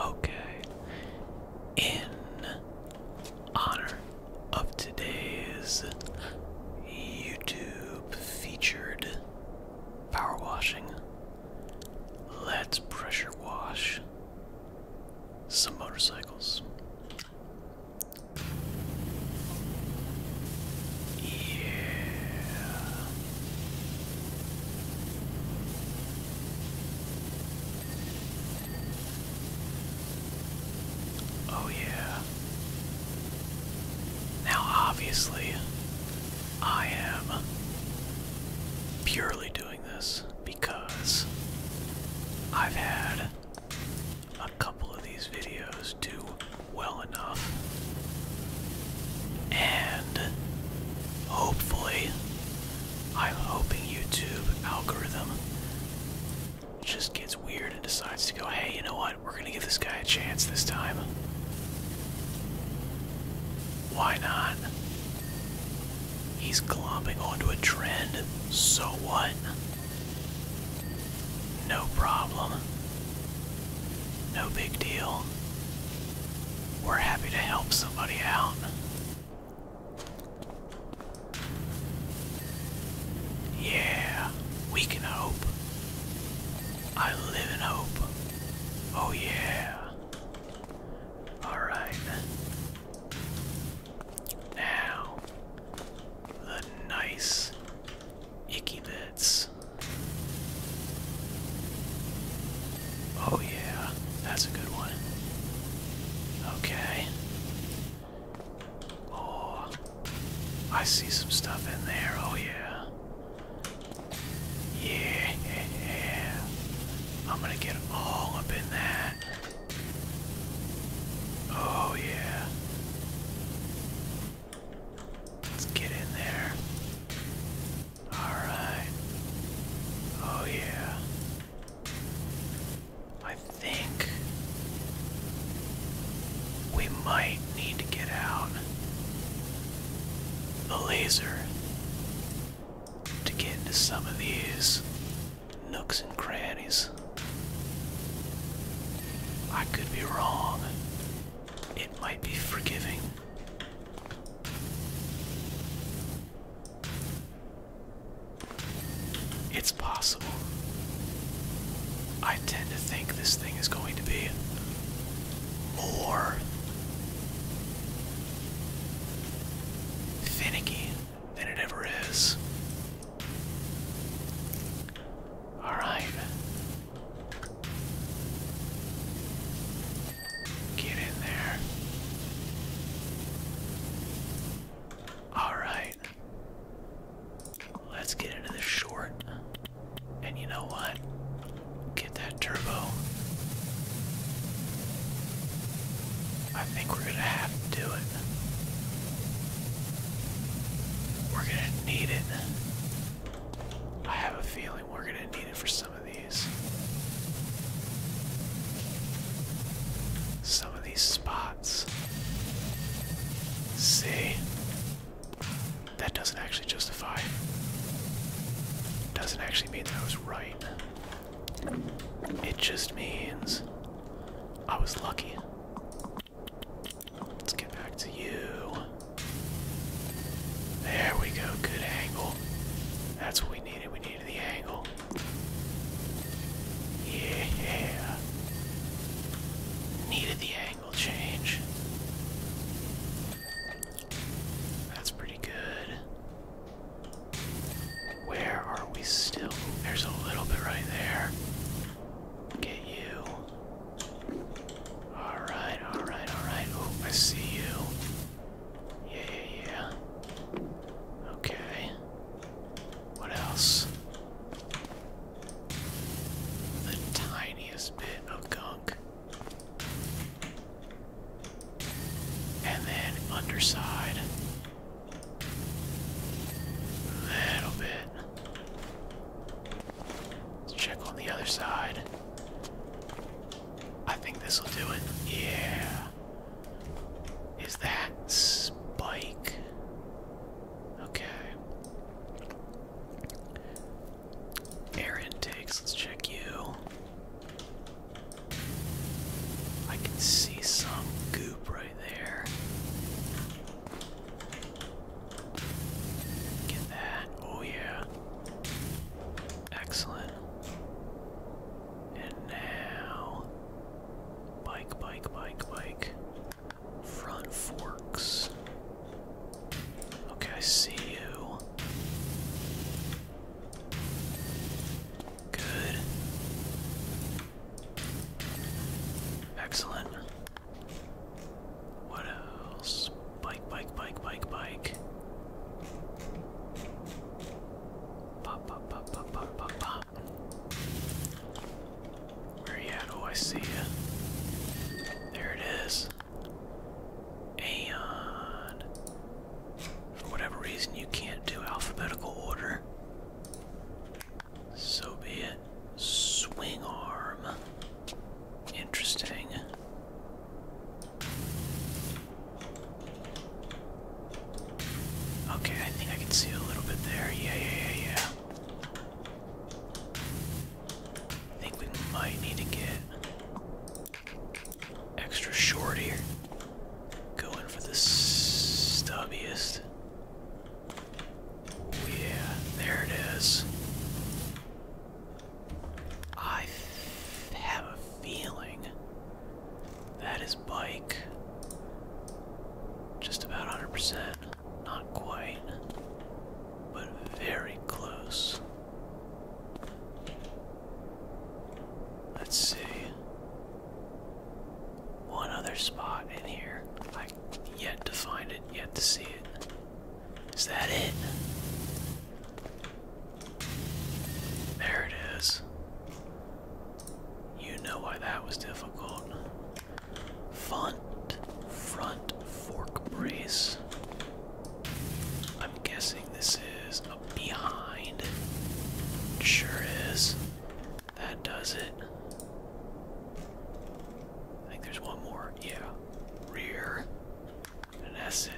Okay, in honor of today's YouTube featured power washing, let's pressure wash some motorcycles. Yeah. Oh, yeah. Now, obviously, I am purely doing this because I've had a couple of these videos do well enough. And hopefully, I'm hoping YouTube algorithm just gets weird and decides to go, hey, you know what? We're gonna give this guy a chance this time. Why not? He's glomping onto a trend. So what? No problem. No big deal. We're happy to help somebody out. Yeah, we can hope. I live in hope. Oh, yeah. Alright. Now, the nice icky bits. Oh yeah, that's a good one. Okay. Oh, I see some stuff in there. Oh yeah. Yeah, yeah. I'm gonna get all up in that. Oh yeah. Let's get in there. Alright. Oh, yeah. I think we might need to get out the laser to get into some of these nooks and crannies. I could be wrong. It might be forgiving. It's possible. I tend to think this thing is going to be more finicky than it ever is. Alright. Get in there. Alright. Let's get into the short. And you know what? Get that turbo. I think we're gonna have to do it. We're gonna need it. I have a feeling we're gonna need it for something some of these. Some of these spots. See? That doesn't actually justify. Doesn't actually mean that I was right. It just means I was lucky. Let's get back to you. There we go. Good angle. That's what we needed. We needed the angle. Yeah. Needed the angle change. That's pretty good. Where are we still? There's a little bit right there. Get you. Alright, alright, alright. Oh, I see you. Yeah, yeah, yeah. Okay. What else? The tiniest bit of gunk. And then underside. Little bit. Let's check on the other side. I think this will do it. Yeah. Is that spike? Okay. Air intakes, let's check you. I can see some goop right there. Get that. Oh, yeah. Excellent. And now, bike, bike, bike, bike. Front forks. Okay, I see you. Good. Excellent. What else? Bike, bike, bike, bike, bike. Pop, pop, pop, pop, pop, pop, pop. Where you at? Oh, I see you. There it is. And for whatever reason, you can't do alphabetical order. So be it. Swing arm. Interesting. Okay, I think I can see a little bit there. Yeah, yeah, yeah, yeah. I think we might need to get extra short here. Going for the stubbiest. Yeah, there it is. I have a feeling that is bike just about 100%, not quite, but very close. Let's see. One other spot in here. I yet to find it, yet to see it. Is that it? There it is. You know why that was difficult. Front, front fork brace. I'm guessing this is a behind. Sure is. That does it. I think there's one more. Yeah. Rear. And that's it.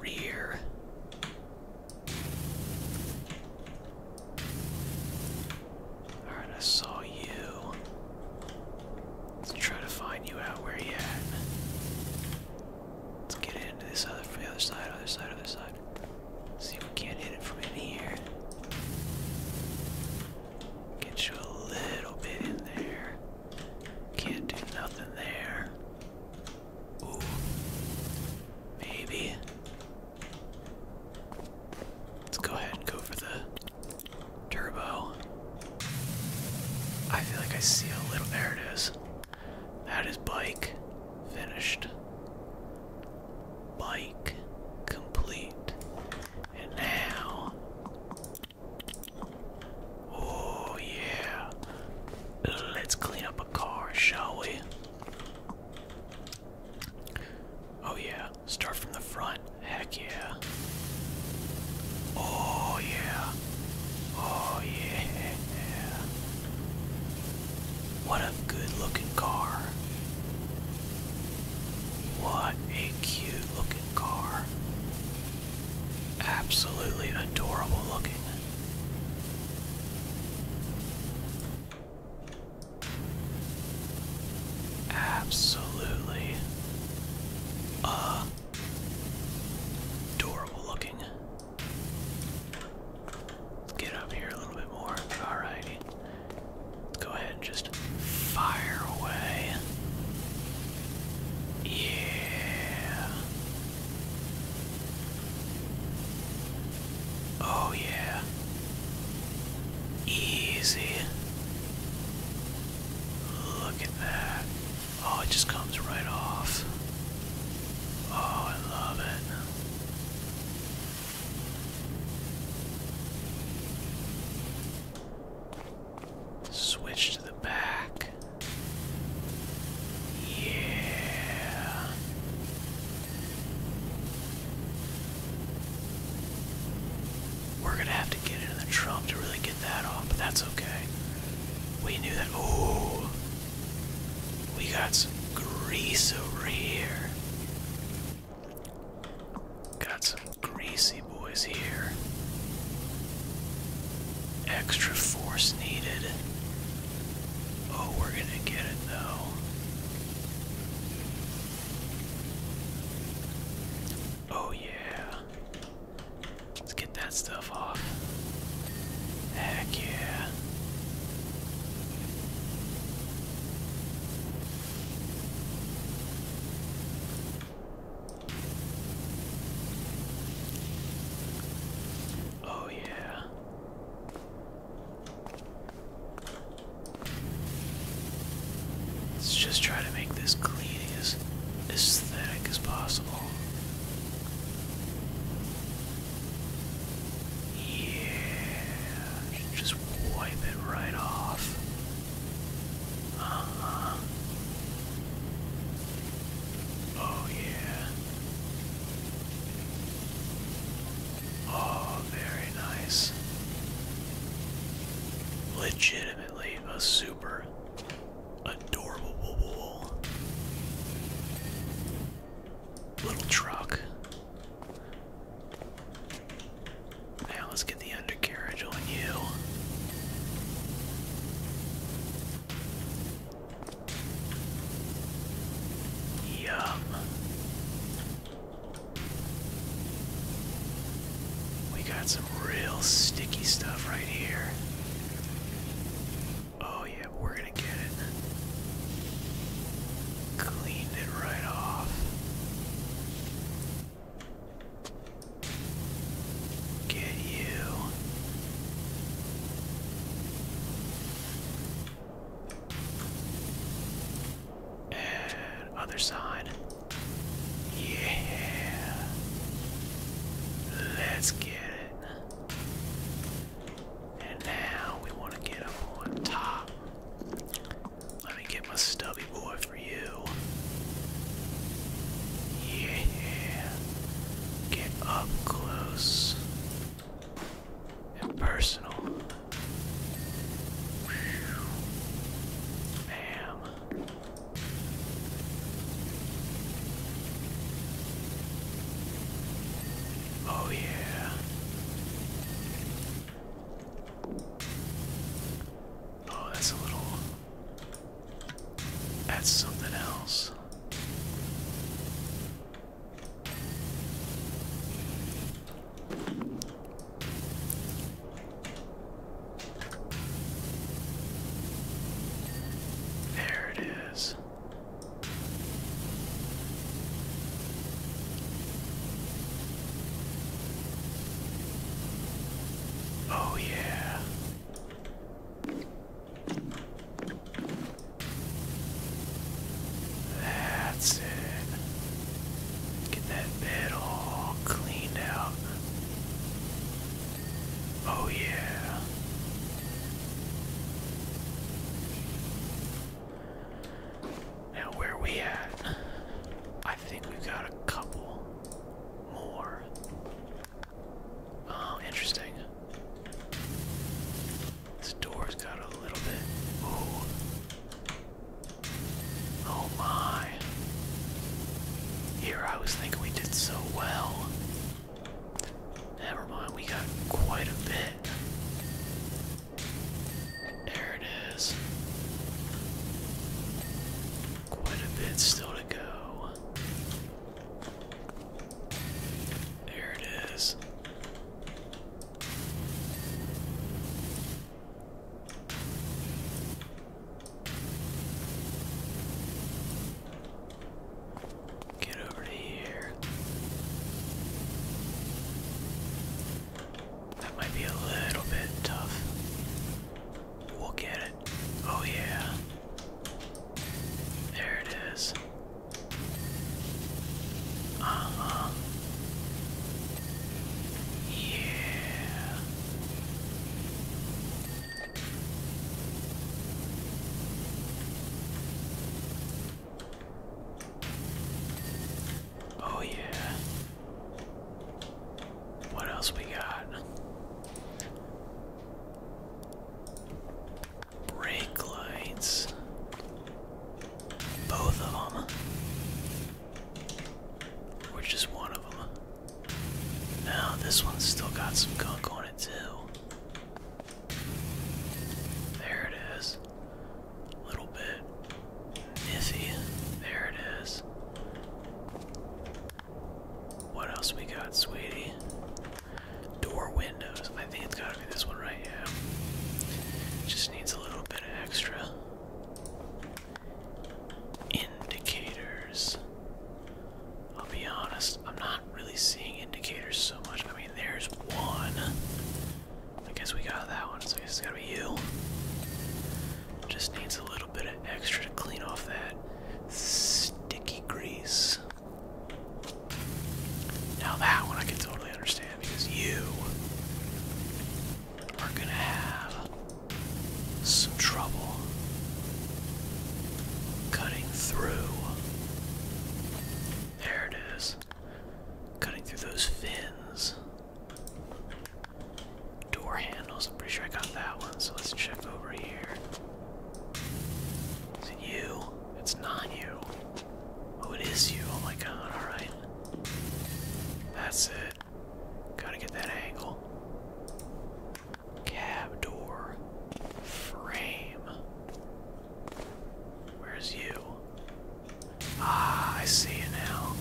Rear. Alright, I saw you. Let's try to find you out where you at. Let's get into this other the other side, other side, other side. See if we can't hit it from in here. Get you a little bit in there. Can't do nothing there. Ooh. Maybe. Let's go ahead and go for the turbo. I feel like I see a little. There it is. That is bike. Finished. Bike complete. And now. Oh, yeah. Let's clean up a car, shall we? Oh, yeah. Start from the front. Heck yeah. Oh, yeah. Oh, yeah. What a good looking car. What a cute looking car. Absolutely adorable looking. Absolutely adorable looking. Let's get up here a little bit more. Alrighty go ahead and just fire away. Yeah. Oh, yeah. Easy. Look at that. Oh, it just comes right off. Oh, I love it. Switch to the back. Yeah. We're gonna have to get into the trunk to really get that off, but that's okay. We knew that. Oh, we got some grease over here. Got some greasy boys here. Extra force needed. Oh, we're gonna get it though. Oh, yeah. Let's get that stuff off. Heck yeah. Oh, yeah. Let's just try to make this clean as as possible. Yeah, just wipe it right off. Uh-huh. Oh yeah. Oh, very nice. Legitimately a super adorable little truck. Now let's get the undercarriage on you. Yum. We got some real sticky stuff right here. Oh, yeah, we're gonna get it. Cleaned it right off. Get you. other side. Yeah. Let's get it. And now we want to get up on top. Let me get my stubby boy for you. Yeah. Get up close and personal. Bam. Oh, yeah. Oh, that's a little. That's something else. There it is. Oh, yeah. That's it. Get that bed all cleaned out. Oh, yeah. Now, where we at? I think we've got a couple more. Oh, interesting. This door's got a little bit. Oh my. Here I was thinking we did so well. Never mind, we got quite a bit. There it is. Quite a bit still to go. There it is. Get over here. That might be a little bit tough. We'll get it. Oh, yeah. There it is. Uh huh. Yeah. Oh, yeah. What else we got? Brake lights. Both of them. Or just one of them. Now, this one's still got some gunk on it, too. There it is a little bit nizzy. There it is. What else we got, sweetie? Door windows. I think it's gotta be this one right here. Just needs a little bit of extra. Indicators. I'll be honest, I'm not really seeing indicators so much. I mean, there's one. I guess we got that one, so it's gotta be you. Just needs a little bit of extra to clean off that sticky grease. Now that one I can totally understand because you are gonna have some trouble cutting through. There it is. Cutting through those fins. Door handles, I'm pretty sure I got that one, so let's check over here. Is it you? It's not you. Oh, it is you. Oh my god, alright. That's it. Gotta get that angle. Cab door. Frame. Where's you? Ah, I see you now.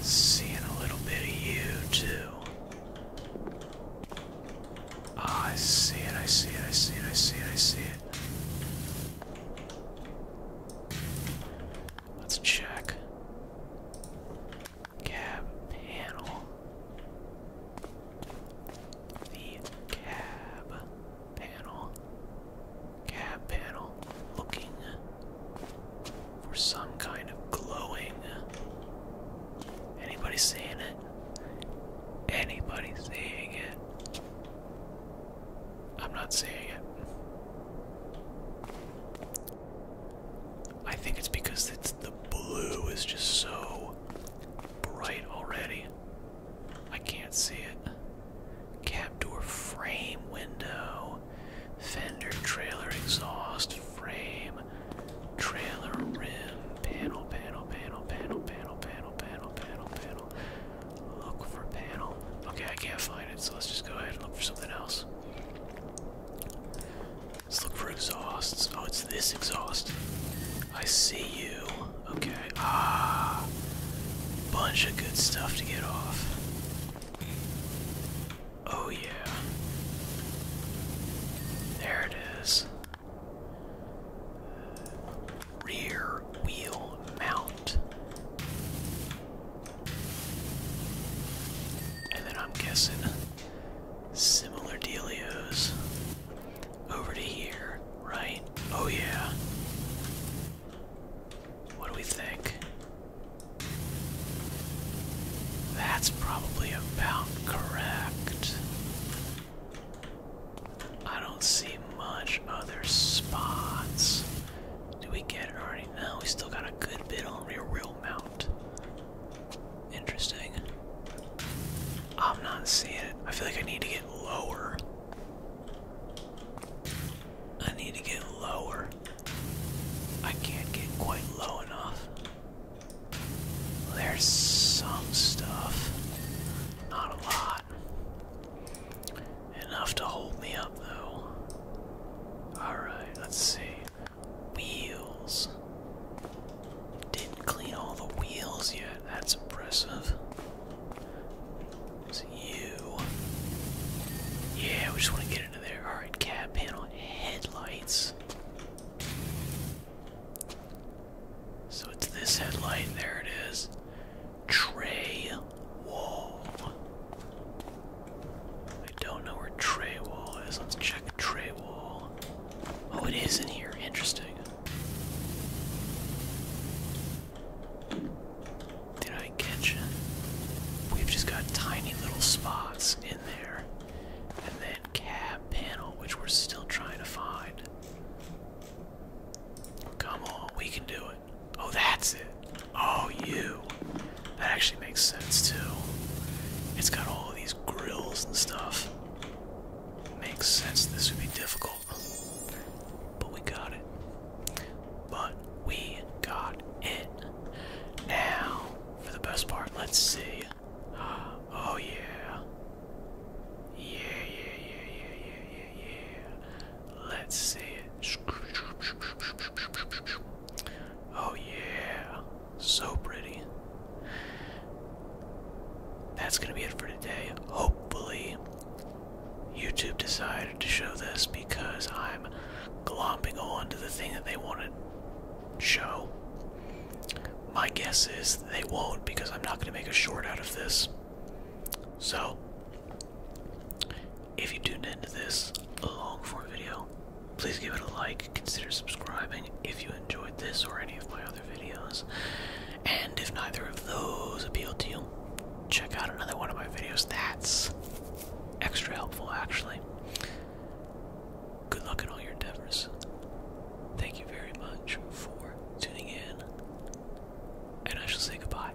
Seeing a little bit of you, too. Ah, I see it, I see it, I see it, I see it, I see it. Let's check cab panel. The cab panel. Cab panel looking for some kind of glowing. Anybody seeing it? Anybody seeing it? I'm not seeing it. I think it's because it's, the blue is just so bright already. I can't see it. Cab door frame window. Fender trailer exhaust frame. Trailer rim. Panel, panel, panel, panel, panel, panel, panel, panel, panel. Look for panel. Okay, I can't find it, so let's just go ahead and look for something else. Let's look for exhausts. Oh, it's this exhaust. I see you. Okay. Ah. Bunch of good stuff to get off. Oh, yeah. There it is. Rear wheel mount. And then I'm guessing similar delios over to here, right? Oh, yeah. What do we think? That's probably about correct. I don't see much other spots. Do we get already? No, we still got a good bit on rear wheel mount. Interesting. I'm not seeing it. I feel like I need to get lower. I need to get lower. I can't get quite low enough. There's some stuff. Not a lot. Enough to hold me up, though. Alright, let's see. Wheels. Didn't clean all the wheels yet. That's impressive. It's you. Yeah, we just want to get into there. Alright, cab panel headlights. So it's this headlight. There it is. Tray. Wall. I don't know where tray wall is. Let's check tray wall. Oh, it is in here. Interesting. Did I catch it? We've just got tiny little spots in there. And then cab panel, which we're still trying to find. Come on, we can do it. Oh, that's it. Oh, you. That actually makes sense, too. It's got all these grills and stuff. Makes sense this would be difficult. But we got it. But we got it. Now, for the best part, let's see. Oh, Yeah, yeah, yeah, yeah, yeah, yeah, yeah. Let's see it. Oh yeah, so pretty. That's gonna be it for today. Hopefully, YouTube decided to show this because I'm glomping on to the thing that they wanted to show. My guess is they won't because I'm not gonna make a short out of this. So, if you tuned in to this long form video, please give it a like, consider subscribing if you enjoyed this or any of my other videos. And if neither of those appeal to you, check out another one of my videos. That's extra helpful, actually. Good luck in all your endeavors. Thank you very much for tuning in, and I shall say goodbye.